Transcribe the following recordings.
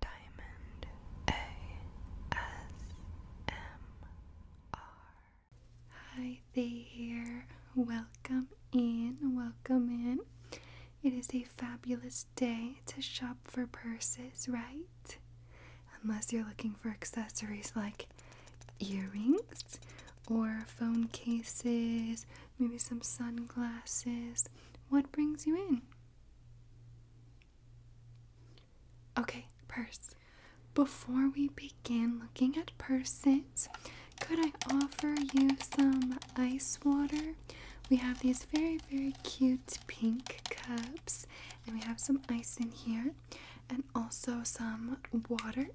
Diamond ASMR. Hi there. Welcome in. Welcome in. It is a fabulous day to shop for purses, right? Unless you're looking for accessories like earrings or phone cases, maybe some sunglasses. What brings you in? Okay, purse. Before we begin looking at purses, could I offer you some ice water? We have these very, very cute pink cups, and we have some ice in here, and also some water.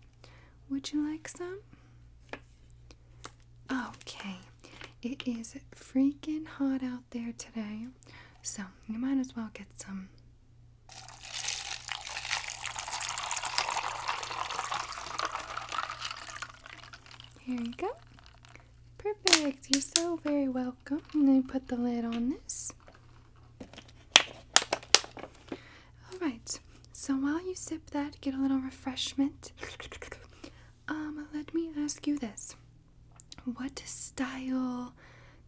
Would you like some? Okay, it is freaking hot out there today, so you might as well get some. Here you go. Perfect. You're so very welcome. Let me put the lid on this. All right. So while you sip that, get a little refreshment. Um, let me ask you this. What style,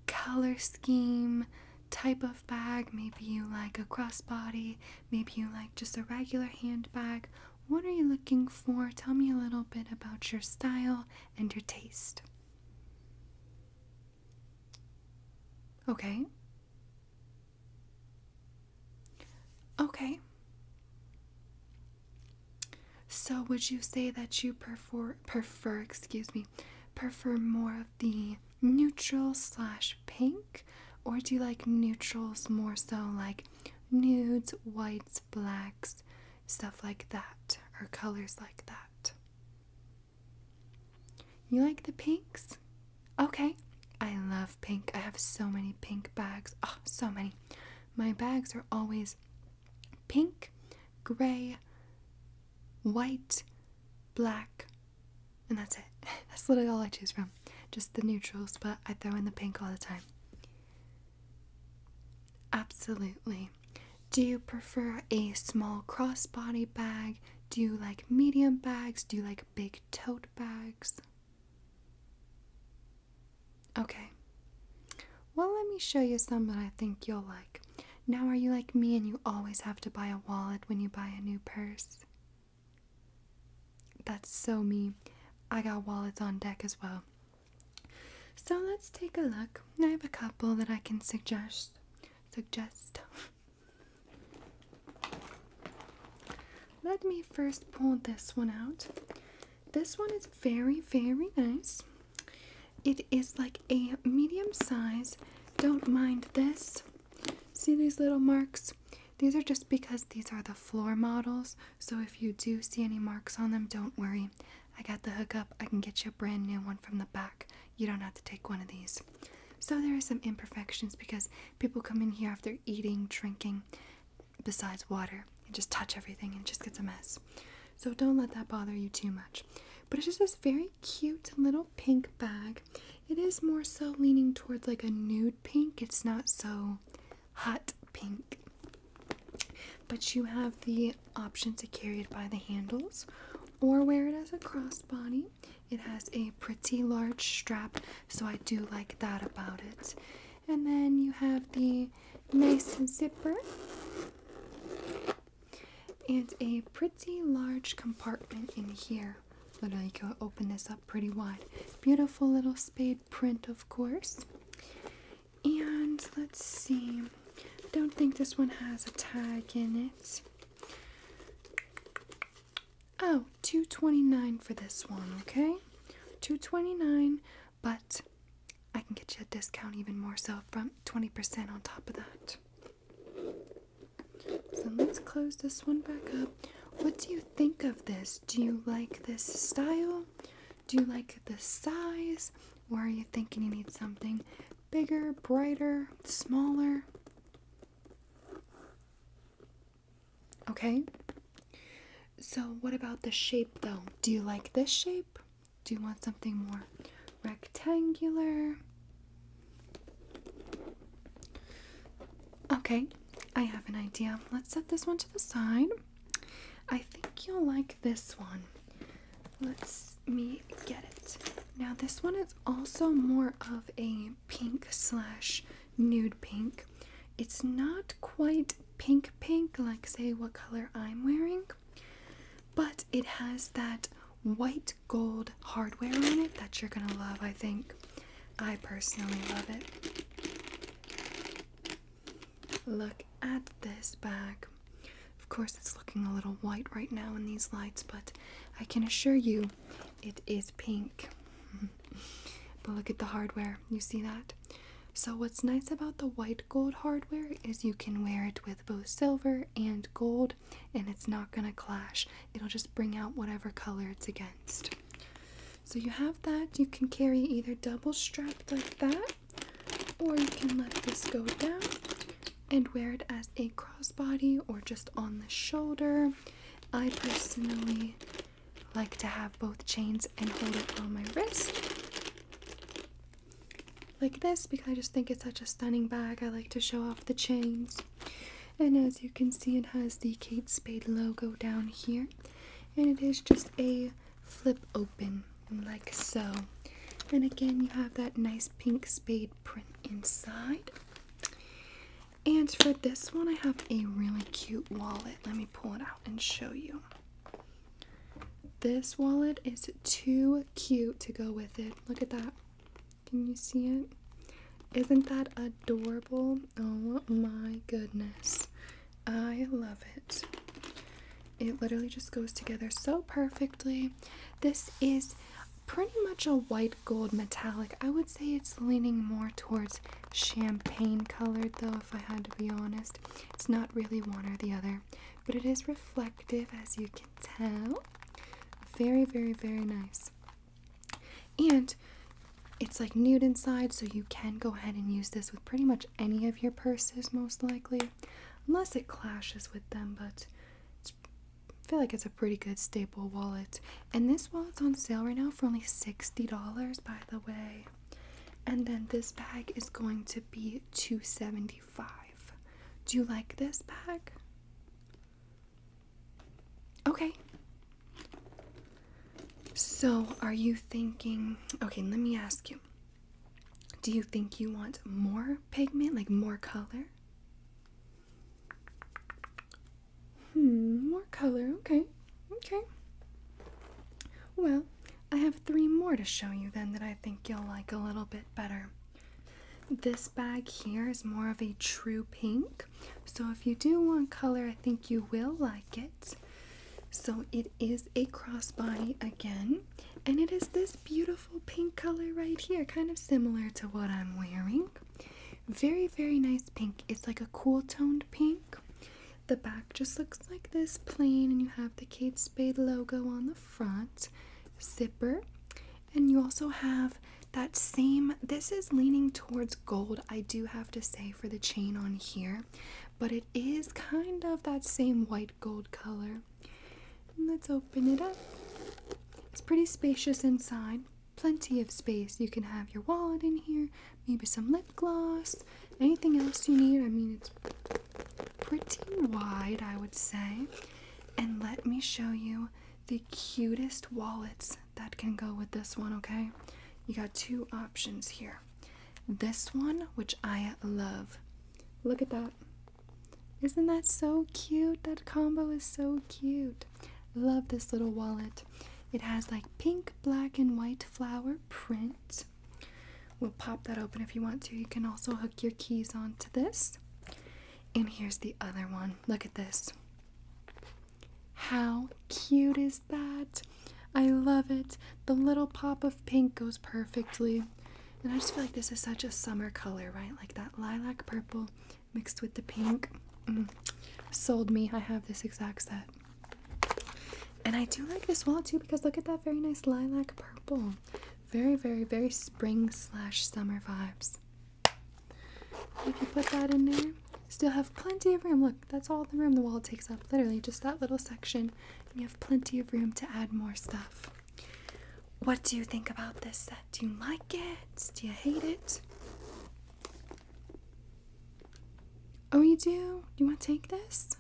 color scheme, type of bag? Maybe you like a crossbody, maybe you like just a regular handbag. What are you looking for? Tell me a little bit about your style and your taste. Okay. Okay. So would you say that you prefer prefer excuse me prefer more of the neutral slash pink or do you like neutrals more so like nudes, whites, blacks, stuff like that, or colors like that? You like the pinks? Okay. I love pink. I have so many pink bags. Oh, so many. My bags are always pink, gray, white, black, and that's it. That's literally all I choose from. Just the neutrals, but I throw in the pink all the time. Absolutely. Do you prefer a small crossbody bag? Do you like medium bags? Do you like big tote bags? Okay. Well, let me show you some that I think you'll like. Now, are you like me and you always have to buy a wallet when you buy a new purse? That's so me. I got wallets on deck as well. So let's take a look. I have a couple that I can suggest. Suggest. Let me first pull this one out. This one is very, very nice. It is like a medium size. Don't mind this. See these little marks? These are just because these are the floor models. So if you do see any marks on them, don't worry. I got the hook up. I can get you a brand new one from the back. You don't have to take one of these. So there are some imperfections because people come in here after eating, drinking, besides water and just touch everything and it just gets a mess. So don't let that bother you too much. But it's just this very cute little pink bag. It is more so leaning towards like a nude pink. It's not so hot pink. But you have the option to carry it by the handles or wear it as a crossbody. It has a pretty large strap, so I do like that about it. And then you have the nice zipper and a pretty large compartment in here. But I can open this up pretty wide. Beautiful little spade print, of course. And let's see. don't think this one has a tag in it. Oh, 229 for this one, okay? 229 but I can get you a discount even more so from 20% on top of that. So let's close this one back up. What do you think of this? Do you like this style? Do you like the size? Or are you thinking you need something bigger, brighter, smaller? Okay? So, what about the shape though? Do you like this shape? Do you want something more rectangular? Okay, I have an idea. Let's set this one to the side. I think you'll like this one. Let's me get it. Now, this one is also more of a pink slash nude pink. It's not quite pink pink like say what color I'm wearing, but it has that white gold hardware on it that you're gonna love, I think. I personally love it. Look at this bag. Of course, it's looking a little white right now in these lights, but I can assure you it is pink. Mm-hmm but look at the hardware. You see that? So, what's nice about the white gold hardware is you can wear it with both silver and gold, and it's not going to clash. It'll just bring out whatever color it's against. So, you have that. You can carry either double strapped like that, or you can let this go down and wear it as a crossbody or just on the shoulder. I personally like to have both chains and hold it on my wrist like this because I just think it's such a stunning bag. I like to show off the chains. And as you can see, it has the Kate Spade logo down here. And it is just a flip open, like so. And again, you have that nice pink spade print inside. And for this one, I have a really cute wallet. Let me pull it out and show you. This wallet is too cute to go with it. Look at that. Can you see it? Isn't that adorable? Oh my goodness. I love it. It literally just goes together so perfectly. This is pretty much a white gold metallic. I would say it's leaning more towards champagne colored though if I had to be honest. It's not really one or the other, but it is reflective as you can tell. Very, very, very nice. And it's like nude inside, so you can go ahead and use this with pretty much any of your purses, most likely, unless it clashes with them. But I feel like it's a pretty good staple wallet. And this wallet's on sale right now for only $60, by the way and then this bag is going to be 275 do you like this bag okay so are you thinking okay let me ask you do you think you want more pigment like more color Hmm, more color. Okay, okay. Well, I have three more to show you then that I think you'll like a little bit better. This bag here is more of a true pink, so if you do want color, I think you will like it. So it is a crossbody again, and it is this beautiful pink color right here, kind of similar to what I'm wearing. Very, very nice pink. It's like a cool toned pink. The back just looks like this plain, and you have the Kate Spade logo on the front zipper. And you also have that same, this is leaning towards gold, I do have to say, for the chain on here, but it is kind of that same white gold color. let's open it up. It's pretty spacious inside, plenty of space. You can have your wallet in here, maybe some lip gloss, anything else you need. I mean, it's pretty wide, I would say. And let me show you the cutest wallets that can go with this one, okay? You got two options here. This one, which I love. Look at that. Isn't that so cute? That combo is so cute. Love this little wallet. It has like pink, black, and white flower print. We'll pop that open if you want to. You can also hook your keys onto this. And here's the other one. Look at this. How cute is that? I love it. The little pop of pink goes perfectly. And I just feel like this is such a summer color, right? Like that lilac purple mixed with the pink. Mm. Sold me. I have this exact set. And I do like this wall too because look at that very nice lilac purple. Very, very, very spring slash summer vibes. If you put that in there, still have plenty of room. Look, that's all the room the wall takes up. Literally just that little section. you have plenty of room to add more stuff. What do you think about this set? Do you like it? Do you hate it? Oh, you do? You want to take this?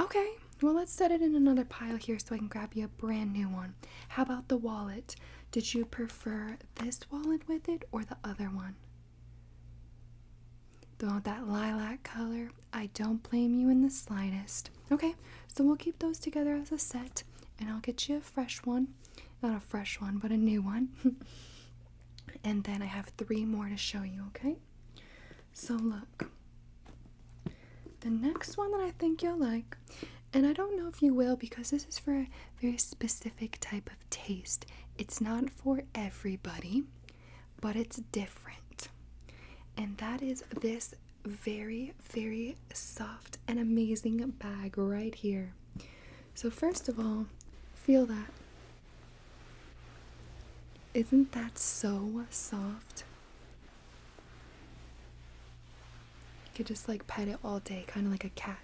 Okay, well, let's set it in another pile here so I can grab you a brand new one. How about the wallet? Did you prefer this wallet with it or the other one? The one that lilac color. I don't blame you in the slightest. Okay, so we'll keep those together as a set and I'll get you a fresh one. Not a fresh one, but a new one. and then I have three more to show you, okay? So, look, the next one that I think you'll like, and I don't know if you will because this is for a very specific type of taste, it's not for everybody, but it's different, and that is this very, very soft and amazing bag right here. So, first of all, feel that. Isn't that so soft? You could just like pet it all day, kind of like a cat.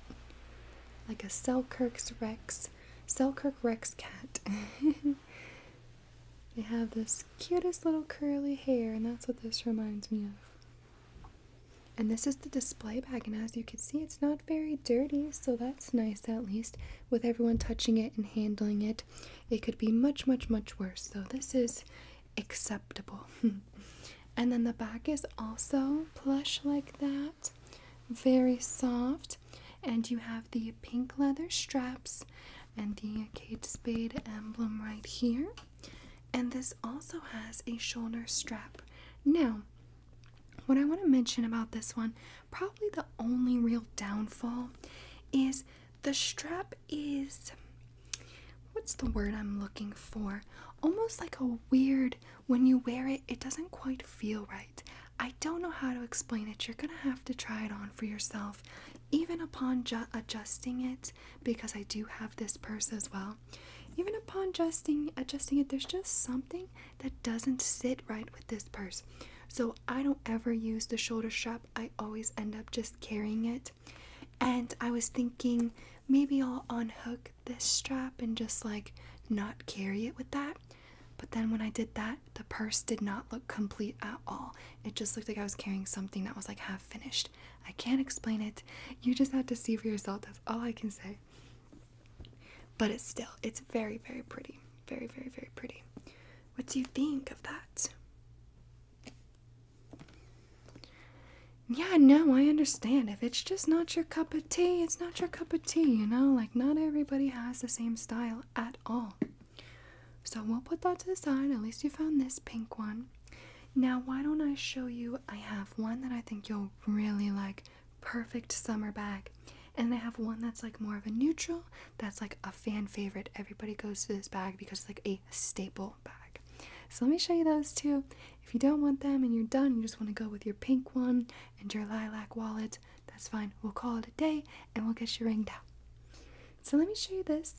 Like a Selkirk Rex, Selkirk Rex cat. they have this cutest little curly hair, and that's what this reminds me of. And this is the display bag, and as you can see, it's not very dirty, so that's nice at least. With everyone touching it and handling it, it could be much, much, much worse. So, this is acceptable. and then the back is also plush like that, very soft. And you have the pink leather straps and the Kate Spade emblem right here. And this also has a shoulder strap. Now, what I want to mention about this one, probably the only real downfall, is the strap is what's the word I'm looking for? Almost like a weird, when you wear it, it doesn't quite feel right. I don't know how to explain it. You're going to have to try it on for yourself, even upon adjusting it, because I do have this purse as well. Even upon adjusting it, there's just something that doesn't sit right with this purse. So I don't ever use the shoulder strap. I always end up just carrying it. And I was thinking maybe I'll unhook this strap and just like not carry it with that. But then when I did that, the purse did not look complete at all. It just looked like I was carrying something that was like half finished. I can't explain it. You just have to see for yourself. That's all I can say. But it's still, it's very, very pretty. Very, very, very pretty. What do you think of that? Yeah, no, I understand. If it's just not your cup of tea, it's not your cup of tea, you know? Like, not everybody has the same style at all. So we'll put that to the side. At least you found this pink one. Now, why don't I show you? I have one that I think you'll really like perfect summer bag. And they have one that's like more of a neutral, that's like a fan favorite. Everybody goes to this bag because it's like a staple bag. So let me show you those two. If you don't want them and you're done, you just want to go with your pink one and your lilac wallet, that's fine. We'll call it a day and we'll get you ringed out. So let me show you this.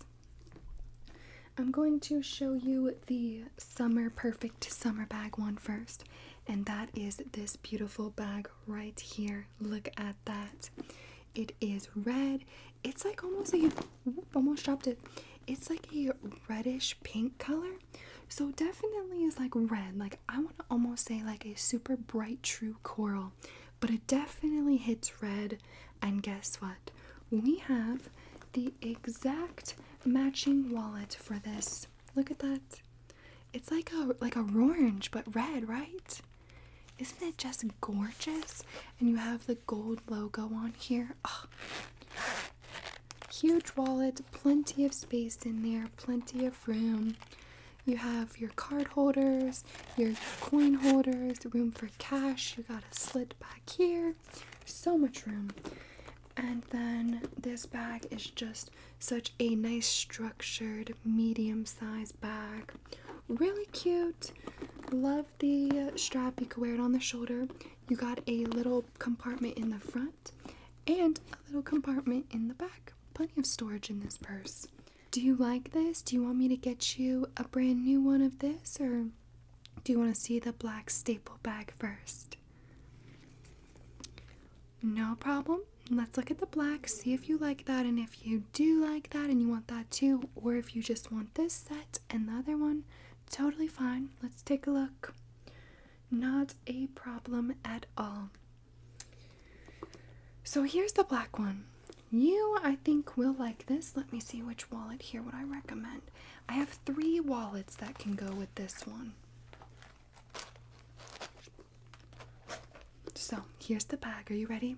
I'm going to show you the Summer Perfect perfect summer bag one first, and that is this beautiful bag right here. Look at that. It is red. It's like almost a almost dropped it. It's like a reddish pink color. So definitely is like red. Like I want to almost say like a super bright true coral, but it definitely hits red. And guess what? We have the exact matching wallet for this. Look at that. It's like a like a orange but red, right? Isn't it just gorgeous? And you have the gold logo on here. Huge wallet, plenty of space in there, plenty of room. You have your card holders, your coin holders, room for cash. You got a slit back here so much room. And then this bag is just such a nice structured medium size bag. Really cute. Love the uh, strap. You can wear it on the shoulder. You got a little compartment in the front and a little compartment in the back. Plenty of storage in this purse. Do you like this? Do you want me to get you a brand new one of this or do you want to see the black staple bag first? No problem. Let's look at the black, see if you like that, and if you do like that and you want that too, or if you just want this set and the other one, totally fine. Let's take a look. Not a problem at all. So here's the black one. You, I think, will like this. Let me see which wallet here would I recommend. I have three wallets that can go with this one. So here's the bag. Are you ready?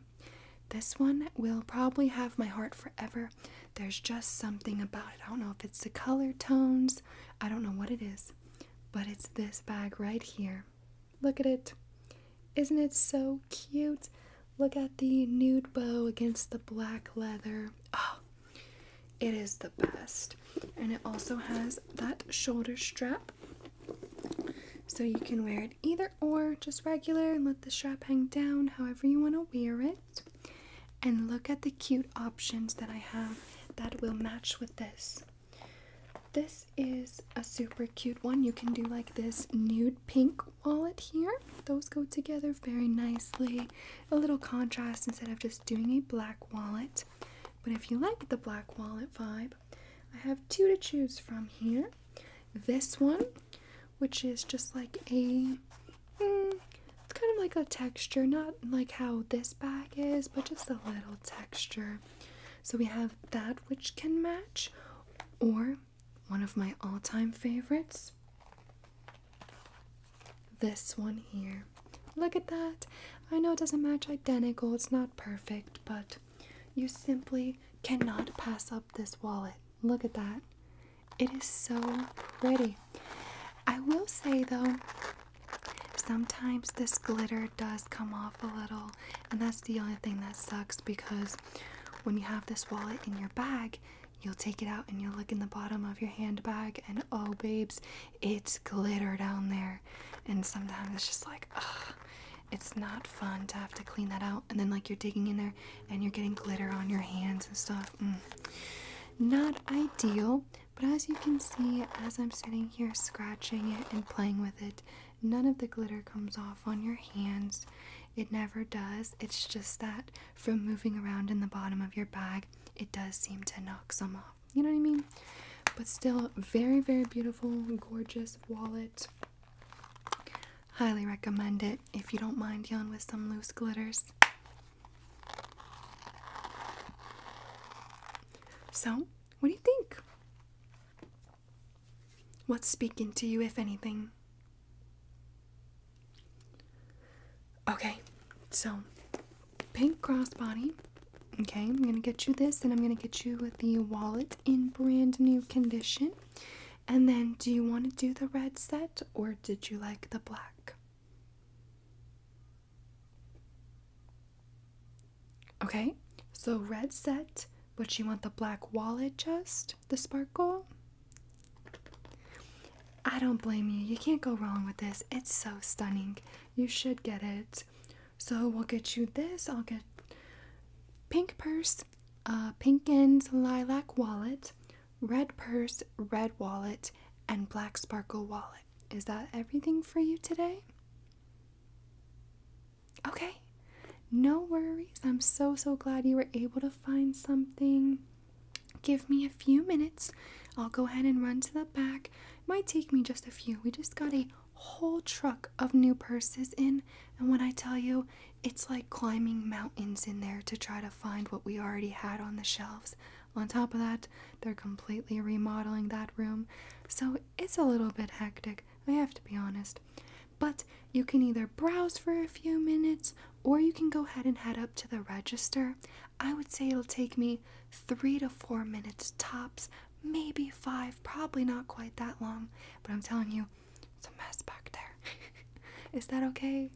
This one will probably have my heart forever. There's just something about it. I don't know if it's the color tones, I don't know what it is, but it's this bag right here. Look at it. Isn't it so cute? Look at the nude bow against the black leather. Oh, it is the best. And it also has that shoulder strap. So you can wear it either or, just regular, and let the strap hang down however you want to wear it. And look at the cute options that I have that will match with this. This is a super cute one. You can do like this nude pink wallet here. Those go together very nicely a little contrast instead of just doing a black wallet. But if you like the black wallet vibe, I have two to choose from here. This one, which is just like a, hmm, it's kind of like a texture, not like how this bag is, but just a little texture. So we have that which can match, or one of my all time favorites this one here. Look at that. I know it doesn't match identical, it's not perfect, but you simply cannot pass up this wallet. Look at that. It is so pretty. I will say though, sometimes this glitter does come off a little, and that's the only thing that sucks because when you have this wallet in your bag, You'll take it out and you'll look in the bottom of your handbag, and oh, babes, it's glitter down there. And sometimes it's just like, ugh, it's not fun to have to clean that out. And then, like, you're digging in there and you're getting glitter on your hands and stuff. Mm. Not ideal, but as you can see, as I'm sitting here scratching it and playing with it, none of the glitter comes off on your hands. It never does. It's just that from moving around in the bottom of your bag, it does seem to knock some off. You know what I mean? But still, very, very beautiful, gorgeous wallet. Highly recommend it if you don't mind dealing with some loose glitters. So, what do you think? What's speaking to you, if anything? Okay, so pink crossbody. Okay, I'm gonna get you this, and I'm gonna get you the wallet in brand new condition. And then, do you want to do the red set, or did you like the black? Okay, so red set, but you want the black wallet just, the sparkle? I don't blame you. You can't go wrong with this. It's so stunning. You should get it. So we'll get you this. I'll get pink purse, uh, pink and lilac wallet, red purse, red wallet, and black sparkle wallet. Is that everything for you today? Okay. No worries. I'm so, so glad you were able to find something. Give me a few minutes. I'll go ahead and run to the back. might take me just a few. We just got a whole truck of new purses in, and when I tell you, it's like climbing mountains in there to try to find what we already had on the shelves. On top of that, they're completely remodeling that room, so it's a little bit hectic, I have to be honest. But you can either browse for a few minutes or you can go ahead and head up to the register. I would say it'll take me three to four minutes tops, maybe five, probably not quite that long, but I'm telling you, it's a mess back there. Is that okay?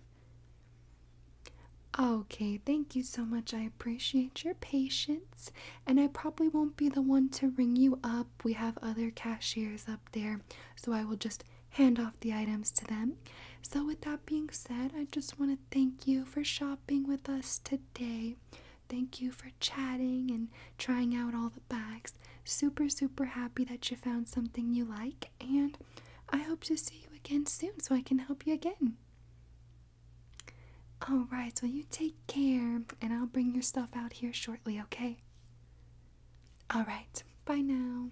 Okay, thank you so much. I appreciate your patience. And I probably won't be the one to ring you up. We have other cashiers up there. So I will just hand off the items to them. So, with that being said, I just want to thank you for shopping with us today. Thank you for chatting and trying out all the bags. Super, super happy that you found something you like, and I hope to see you again soon so I can help you again. Alright, so you take care, and I'll bring your stuff out here shortly, okay? Alright, bye now.